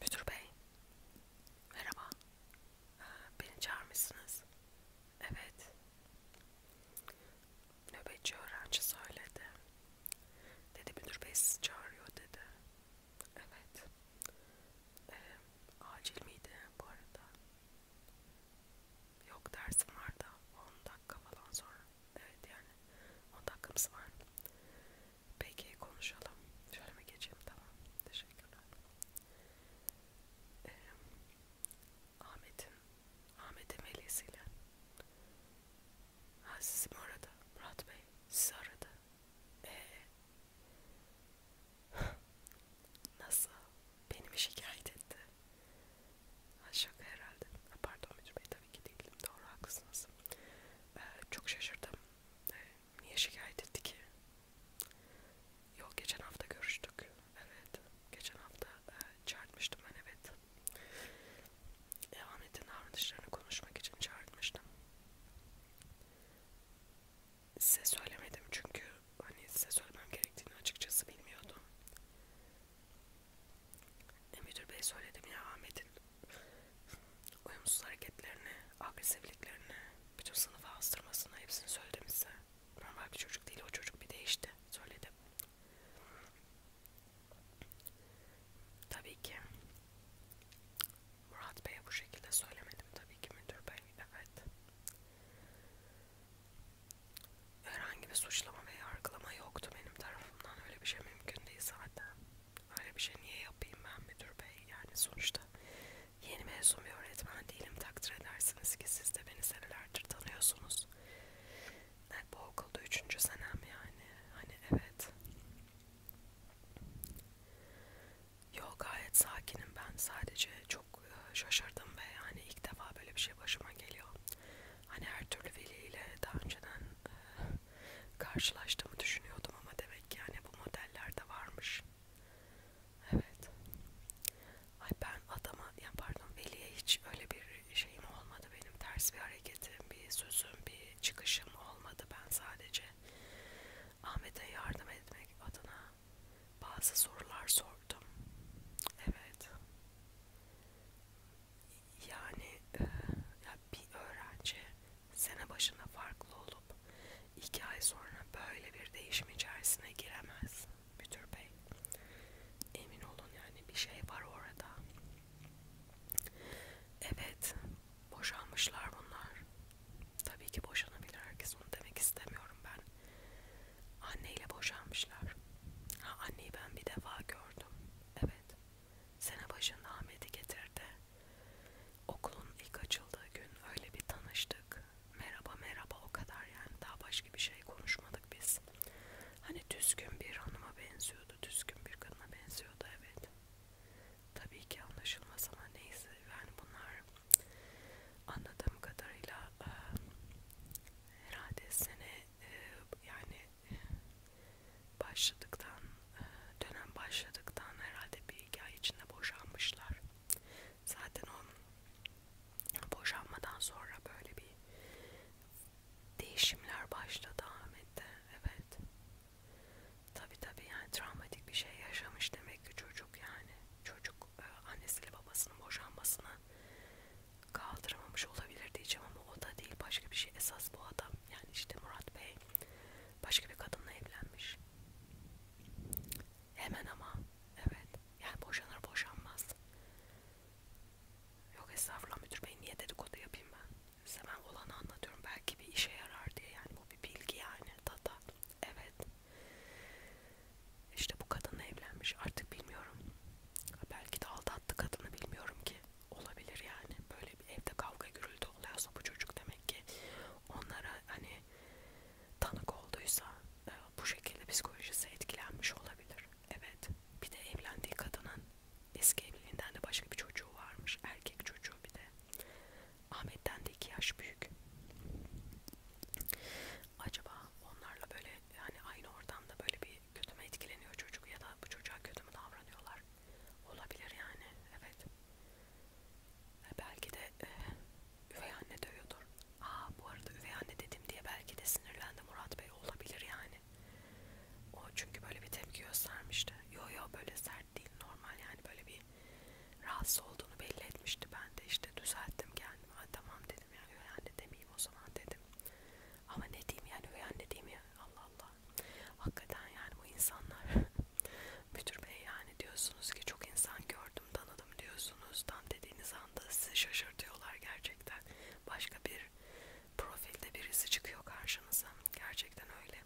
Müdür bey, merhaba. Ee, beni çağırmışsınız. Evet. Nöbetçi öğrenci söyledi. Dedi müdür bey sizi çağırıyor dedi. Evet. Ee, acil miydi bu arada? Yok dersim var da 10 dakika falan sonra. Evet yani 10 dakikamız var. Peki konuşalım. Şöyle mi geçeyim? Tamam. Teşekkürler. Ee, Ahmet'in Ahmet'in velisiyle Ha sizi mi aradı? Murat Bey sizi aradı. Eee? Nasıl? Beni mi şikayet etti? Ha şaka herhalde. Ha, pardon Müdür Bey de tabii ki değilim. Doğru haklısınız. Ee, çok şaşırdım. Ee, niye şikayet etti ki? Yok geçen hafta görüştük. Evet. Geçen hafta e, çağırmıştım ben evet. E, Ahmet'in davranışlarını konuşmak için çağırmıştım. Size söylemedim çünkü hani size söylemem gerektiğini açıkçası bilmiyordum. E, müdür bey söyledim ya Ahmet'in uyumsuz hareketlerini, agresifliklerini, bütün sınıfa astırmasını hepsini söyledim size. Normal bir çocuk değil, o çocuk bir değişti. Söyledim. Tabii ki Murat Bey'e bu şekilde söylemedim tabii ki müdür bey. Evet. Herhangi bir suçlama ve yargılama yoktu benim tarafımdan tarafından öyle bir şey mümkün değil zaten. Öyle bir şey niye yapayım ben müdür bey? Yani sonuçta yeni mezun bir öğretmen değilim takdir edersiniz ki siz de beni senelerdir tanıyorsunuz. Evet, bu okulda üçüncü senem yani. Hani evet. Yok gayet sakinim ben sadece çok e, şaşırdım ve yani ilk defa böyle bir şey başıma geliyor. Hani her türlü veliyle daha önceden karşılaştığımı düşünüyordum ama demek ki yani bu modeller de varmış. Evet. Ay ben adama, yani pardon Veli'ye hiç öyle bir şeyim olmadı benim. Ters bir hareketim, bir sözüm, bir çıkışım olmadı. Ben sadece Ahmet'e yardım etmek adına bazı sorular sordum. Evet yani e, ya bir öğrenci sene başında farklı olup iki ay sonra böyle bir değişim içerisine giremez müdür bey emin olun yani bir şey var orada evet boşanmışlar bunlar tabii ki boşanabilir herkes onu demek istemiyorum ben anneyle boşanmışlar ha anneyi ben bir defa gördüm gördüm. Evet. Sene başında Ahmet'i getirdi. Okulun ilk açıldığı gün öyle bir tanıştık. Merhaba merhaba o kadar yani. Daha başka bir şey konuşmadık biz. Hani düzgün bir hanıma benziyordu. Düzgün bir kadına benziyordu evet. Tabii ki anlaşılmaz ama neyse. Yani bunlar anladığım kadarıyla herhalde sene e, yani başladıktan e, dönem başladıktan herhalde bir iki ay içinde boşanmışlar. Zaten o boşanmadan sonra böyle bir değişimler başladı Ahmet'te. Evet. Tabi tabi yani travmatik bir şey yaşamış demek ki çocuk yani. Çocuk e, annesiyle babasının boşanmasına mı kaldıramamış olabilir diyeceğim ama o da değil başka bir şey esas bu adam yani işte Murat Bey başka bir kadınla evlenmiş hemen ama evet yani boşanır boşanmaz yok estağfurullah müdür bey niye dedikodu yapayım ben size ben olanı anlatıyorum belki bir işe yarar diye yani bu bir bilgi yani tata evet işte bu kadınla evlenmiş artık bilmiyorum. Belki de aldattı kadını bilmiyorum ki. Olabilir yani. Böyle bir evde kavga gürültü oluyorsa bu çocuk demek ki onlara hani tanık olduysa e, bu şekilde psikolojisi etkilenmiş olabilir. Evet. Bir de evlendiği kadının eski evliliğinden de başka bir çocuğu varmış. Erkek çocuğu bir de. Ahmet'ten de iki yaş büyük. Acaba onlarla böyle hani aynı ortamda böyle bir kötü mü etkileniyor çocuk ya da bu çocuğa kötü mü davranıyorlar olabilir yani evet e belki de e, üvey anne dövüyordur aa bu arada üvey anne dedim diye belki de sinirlendi Murat Bey olabilir yani o çünkü böyle bir tepki göstermişti yo yo böyle sert değil normal yani böyle bir rahatsız olduğunu belli etmişti ben de işte düzelttim kendimi ha, tamam dedim dedim ya üvey anne demeyeyim o zaman dedim. Ama ne diyeyim yani üvey anne diyeyim ya Allah Allah. Hakikaten yani bu insanlar müdür bey yani diyorsunuz ki çok insan gördüm tanıdım diyorsunuz. Tam dediğiniz anda sizi şaşırtıyorlar gerçekten. Başka bir profilde birisi çıkıyor karşınıza. Gerçekten öyle.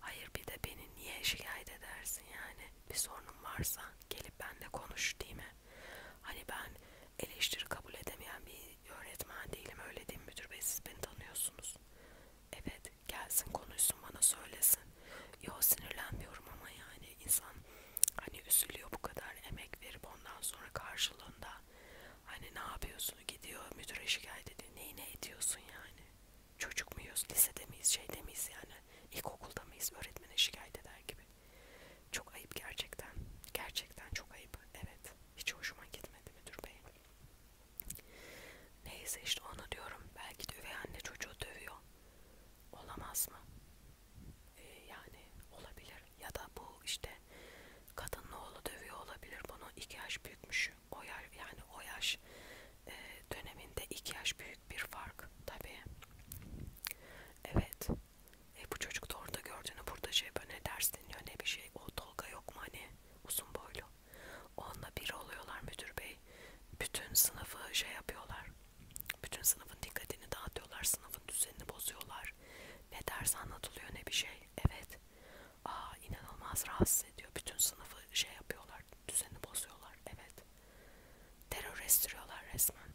Hayır bir de beni niye şikayet edersin yani? Bir sorunum varsa gelip benle konuş değil mi? Hani ben eleştiri kabul edemeyen bir öğretmen değilim. Öyle değil mi müdür bey? Siz beni tanıyorsunuz. Evet gelsin konuşsun bana söylesin. Yo sinirlenmiyorum ama yani insan hani üzülüyor bu kadar emek verip ondan sonra karşılığında hani ne yapıyorsun gidiyor müdüre şikayet ediyor. Neyi ne ediyorsun yani? Çocuk muyuz? Lisede miyiz? Şeyde miyiz yani? İlkokulda mıyız? Öğretmene şikayet eder gibi. Çok ayıp gerçekten. Gerçekten çok ayıp. Evet. Hiç hoşuma gitmedi müdür bey. Neyse işte onu diyorum. Belki de üvey anne çocuğu dövüyor. Olamaz mı? Ee, yani olabilir. Ya da bu işte kadının oğlu dövüyor olabilir. Bunu iki yaş büyükmüş. O yaş, yani o yaş e, döneminde iki yaş büyük büyük bir fark tabii. Evet. E bu çocuk da orada gördüğünü burada şey böyle ne ders dinliyor ne bir şey. O Tolga yok mu hani uzun boylu. Onunla biri oluyorlar müdür bey. Bütün sınıfı şey yapıyorlar. Bütün sınıfın dikkatini dağıtıyorlar. Sınıfın düzenini bozuyorlar. Ne ders anlatılıyor ne bir şey. Evet. Aa inanılmaz rahatsız ediyor. Bütün sınıfı şey yapıyorlar düzeni bozuyorlar. Evet. Terör estiriyorlar resmen.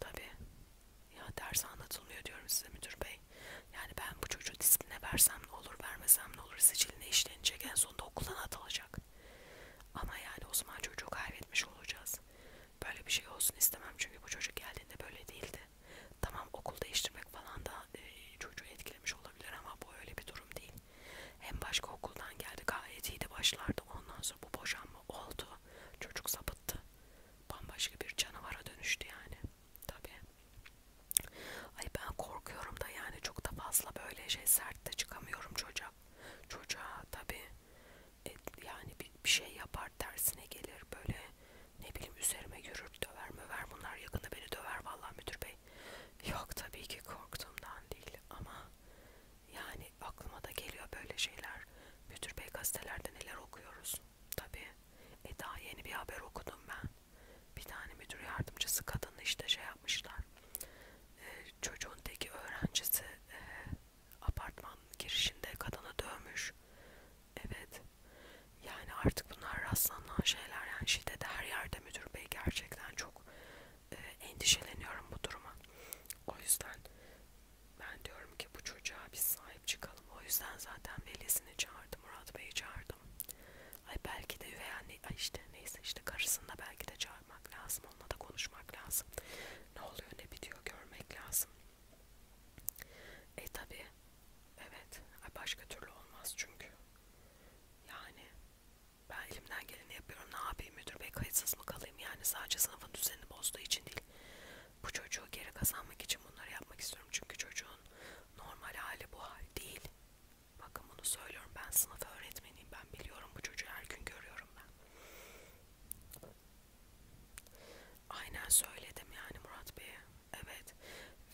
Tabii. Ya ders anlatılmıyor diyorum size müdür bey. Yani ben bu çocuğu disipline versem ne olur, vermesem ne olur, siciline işlenecek, en sonunda okuldan atılacak. Ama yani o zaman çocuğu kaybetmiş olacağız. Böyle bir şey olsun istemem çünkü bu çocuk geldiğinde böyle değildi. Tamam okul değiştirmek falan da e, çocuğu etkilemiş olabilir ama bu öyle bir durum değil. Hem başka okuldan geldi gayet iyi de başlardı. Ondan sonra bu boşanma oldu. Çocuk sapıttı. Bambaşka bir canavara dönüştü yani. Tabii. Ay ben korkuyorum da yani çok da fazla böyle şey sert de çıkamıyorum çocuğa. Çocuğa tabii e, yani bir, bir şey yapar tersine gelir böyle ne bileyim üzerime yürür döver möver bunlar yakında beni döver vallahi müdür bey. Yok tabii ki korktuğumdan değil ama yani aklıma da geliyor böyle şeyler. Müdür Bey gazetelerde neler okuyoruz. Tabii. E daha yeni bir haber okudum ben. Bir tane müdür yardımcısı kadını işte şey yapmışlar. Ee, çocuğun teki öğrencisi e, apartman girişinde kadını dövmüş. Evet. Yani artık bunlar rastlanan şeyler. Yani şiddet her yerde müdür bey gerçekten çok e, endişeleniyorum bu duruma. O yüzden ben diyorum ki bu çocuğa biz sahip çıkalım. O yüzden zaten velisini çağırdım, Murat Bey'i çağırdım. Ay belki de üvey anne, ay işte neyse işte karısını da belki de çağırmak lazım. Onunla da konuşmak lazım. Ne oluyor ne bitiyor görmek lazım. E tabi evet başka türlü olmaz çünkü. Yani ben elimden geleni yapıyorum. Ne yapayım müdür bey kayıtsız mı kalayım? Yani sadece sınıfın düzenini bozduğu için değil. Bu çocuğu geri kazanmak için bunları yapmak istiyorum. Çünkü çocuğun normal hali bu hal değil. Bakın bunu söylüyorum. Ben sınıf öğretmeniyim. Ben biliyorum bu çocuğu her gün görüyorum ben. Aynen söyledim yani Murat Bey'e. Evet.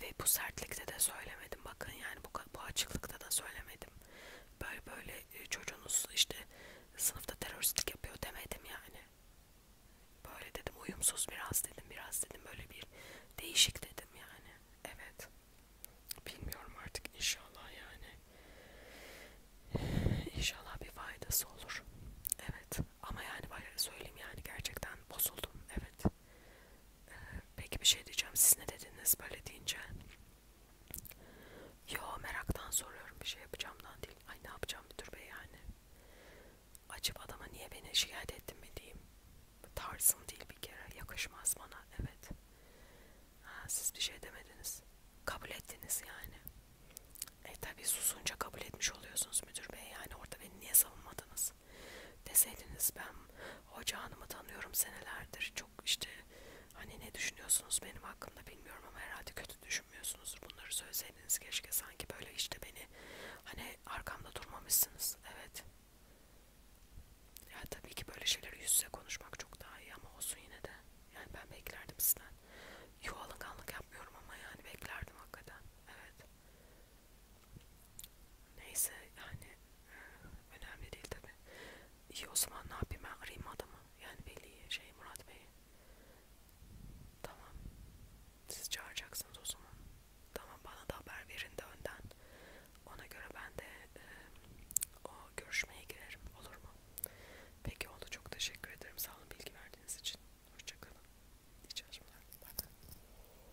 Ve bu sertlikte de söylemedim. Bakın yani bu, bu açıklıkta da söylemedim. Böyle böyle e, çocuğunuz işte sınıfta teröristlik yapıyor demedim yani. Böyle dedim uyumsuz biraz dedim biraz dedim böyle bir değişik dedim yani. Evet. Bilmiyorum artık inşallah yani. İnşallah bir faydası olur. Evet. Ama yani böyle söyleyeyim yani gerçekten bozuldum. Evet. Peki bir şey diyeceğim. Siz ne dediniz böyle deyince? Yo meraktan soruyorum bir şey yapacağımdan değil. Ay ne yapacağım müdür bey yani. Acaba adama niye beni şikayet ettin mi diyeyim. Tarzım değil bir kere. Yakışmaz bana. Evet. Ha, siz bir şey demediniz. Kabul ettiniz yani. E tabi susunca kabul etmiş oluyorsunuz müdür bey. Yani orada beni niye savunmadınız? olmaz. Deseydiniz ben hoca hanımı tanıyorum senelerdir. Çok işte hani ne düşünüyorsunuz benim hakkımda bilmiyorum ama herhalde kötü düşünmüyorsunuz. Bunları söyleseydiniz keşke sanki böyle işte beni hani arkamda durmamışsınız. Evet. Ya tabii ki böyle şeyleri yüz yüze konuşmak çok daha iyi ama olsun yine de. Yani ben beklerdim sizden. Yo alınganlık yapmıyorum ama yani beklerdim hakikaten. Evet. Neyse yani e, önemli değil tabi. İyi o zaman ne yapayım ben arayayım adamı. Yani belli şey Murat Bey. Tamam. Siz çağıracaksınız o zaman. Tamam bana da haber verin de önden. Ona göre ben de e, o görüşmeye girerim. Olur mu? Peki oldu. Çok teşekkür ederim. Sağ olun bilgi verdiğiniz için. Hoşçakalın. İyi çalışmalar. Bye.